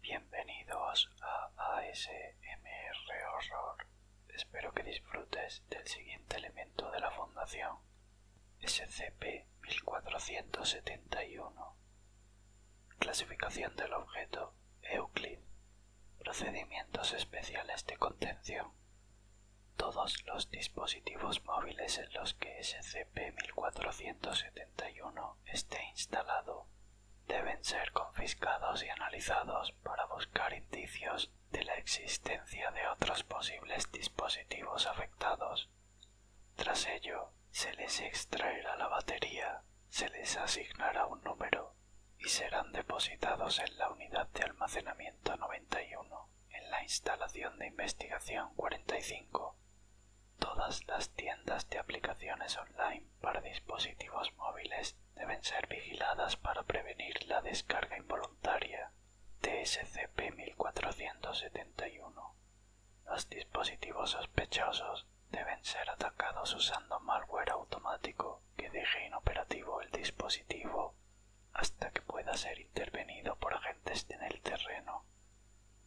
Bienvenidos a ASMR Horror. Espero que disfrutes del siguiente elemento de la Fundación, SCP-1471. Clasificación del objeto, Euclid procedimientos especiales de contención. Todos los dispositivos móviles en los que SCP-1471 esté instalado deben ser confiscados y analizados para buscar indicios de la existencia de otros posibles dispositivos afectados. Tras ello, se les extraerá la batería, se les asignará un número y serán depositados en la unidad de almacenamiento 91 en la instalación de investigación 45. Todas las tiendas de aplicaciones online para dispositivos móviles deben ser vigiladas para prevenir la descarga involuntaria TSCP-1471. Los dispositivos sospechosos deben ser atacados usando malware automático que deje inoperativo el dispositivo hasta que pueda ser intervenido por agentes en el terreno.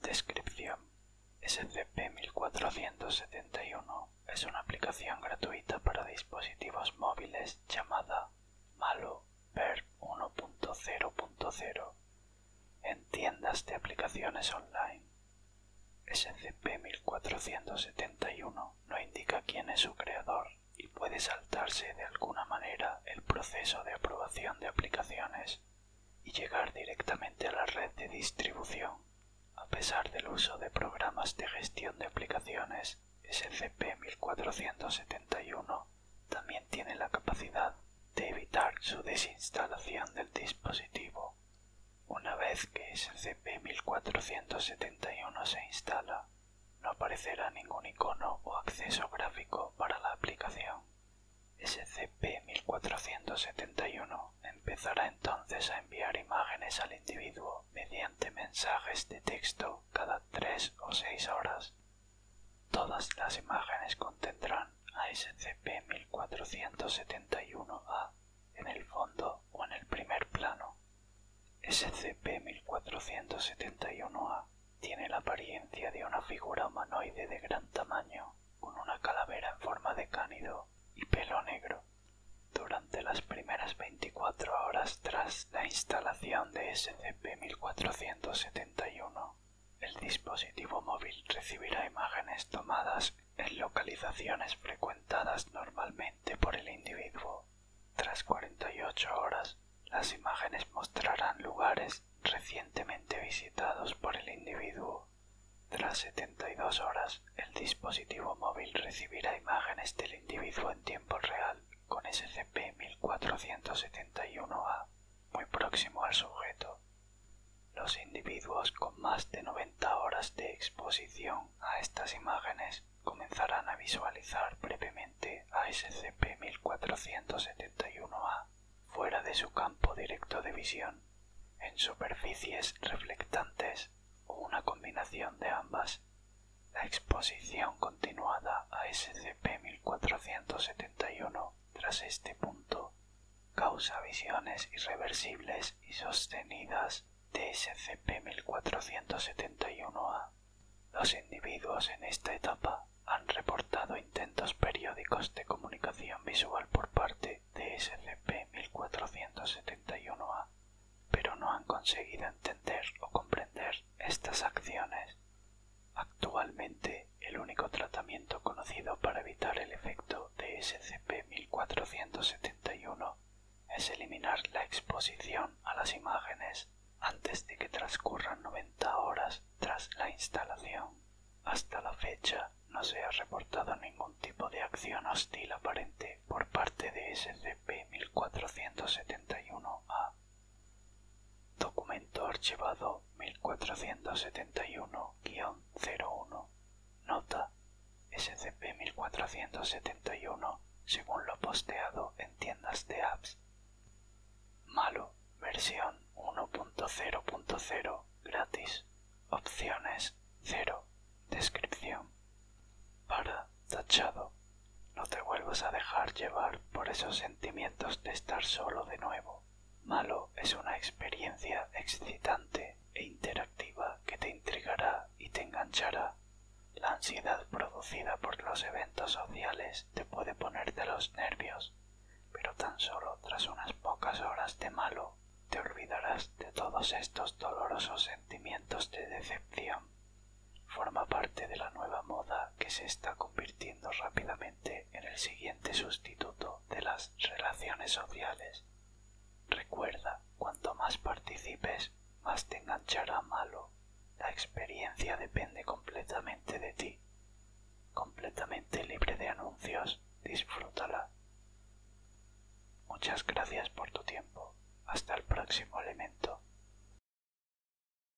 Descripción. SCP-1471 es una aplicación gratuita para dispositivos móviles llamada Malo Ver 1.0.0 en tiendas de aplicaciones online. SCP-1471 no indica quién es su creador y puede saltarse de alguna manera el proceso de aprobación de aplicaciones y llegar directamente a la red de distribución. A pesar del uso de programas de gestión de aplicaciones, SCP-1471 también tiene la capacidad de evitar su desinstalación del dispositivo una vez que SCP-1471 se instala, no aparecerá ningún icono o acceso gráfico para la aplicación. SCP-1471 empezará entonces a enviar imágenes al individuo mediante mensajes de texto cada tres o seis horas. Todas las imágenes contendrán a SCP-1471-A en el fondo o en el primer plano. SCP-1471-A tiene la apariencia de una figura humanoide de gran tamaño, con una calavera en forma de cánido y pelo negro. Durante las primeras 24 horas tras la instalación de SCP-1471, el dispositivo móvil recibirá imágenes tomadas en localizaciones frecuentadas normalmente por el individuo. Tras 48 horas, las imágenes mostrarán lugares recientemente visitados por el individuo. Tras 72 horas, el dispositivo móvil recibirá imágenes del individuo en tiempo real con SCP-1471A, muy próximo al sujeto. Los individuos con más de 90 horas de exposición a estas imágenes comenzarán a visualizar brevemente a SCP-1471-A fuera de su campo directo de visión, en superficies reflectantes o una combinación de ambas. La exposición continuada a SCP-1471 tras este punto causa visiones irreversibles y sostenidas de SCP-1471A. Los individuos en esta etapa han reportado intentos periódicos de comunicación visual por parte de SCP-1471A, pero no han conseguido entender o comprender estas acciones. Actualmente, el único tratamiento conocido para evitar el efecto de SCP-1471 es eliminar la exposición a las imágenes antes de que transcurran 90 horas tras la instalación. Hasta la fecha no se ha reportado ningún tipo de acción hostil aparente por parte de SCP-1471-A. Documento archivado Nota. SCP-1471 según lo posteado en tiendas de apps. Malo. Versión 1.0.0. Gratis. Opciones 0. Descripción. Para. Tachado. No te vuelvas a dejar llevar por esos sentimientos de estar solo de nuevo. Malo es una experiencia excitante e interactiva que te intrigará y te enganchará. La ansiedad producida por los eventos sociales te puede poner de los nervios, pero tan solo tras unas pocas horas de malo te olvidarás de todos estos dolorosos sentimientos de decepción. Forma parte de la nueva moda que se está convirtiendo rápidamente en el siguiente sustituto de las relaciones sociales. Recuerda, cuanto más participes, más te enganchará malo. La experiencia depende completamente de ti. Completamente libre de anuncios, disfrútala. Muchas gracias por tu tiempo. Hasta el próximo elemento.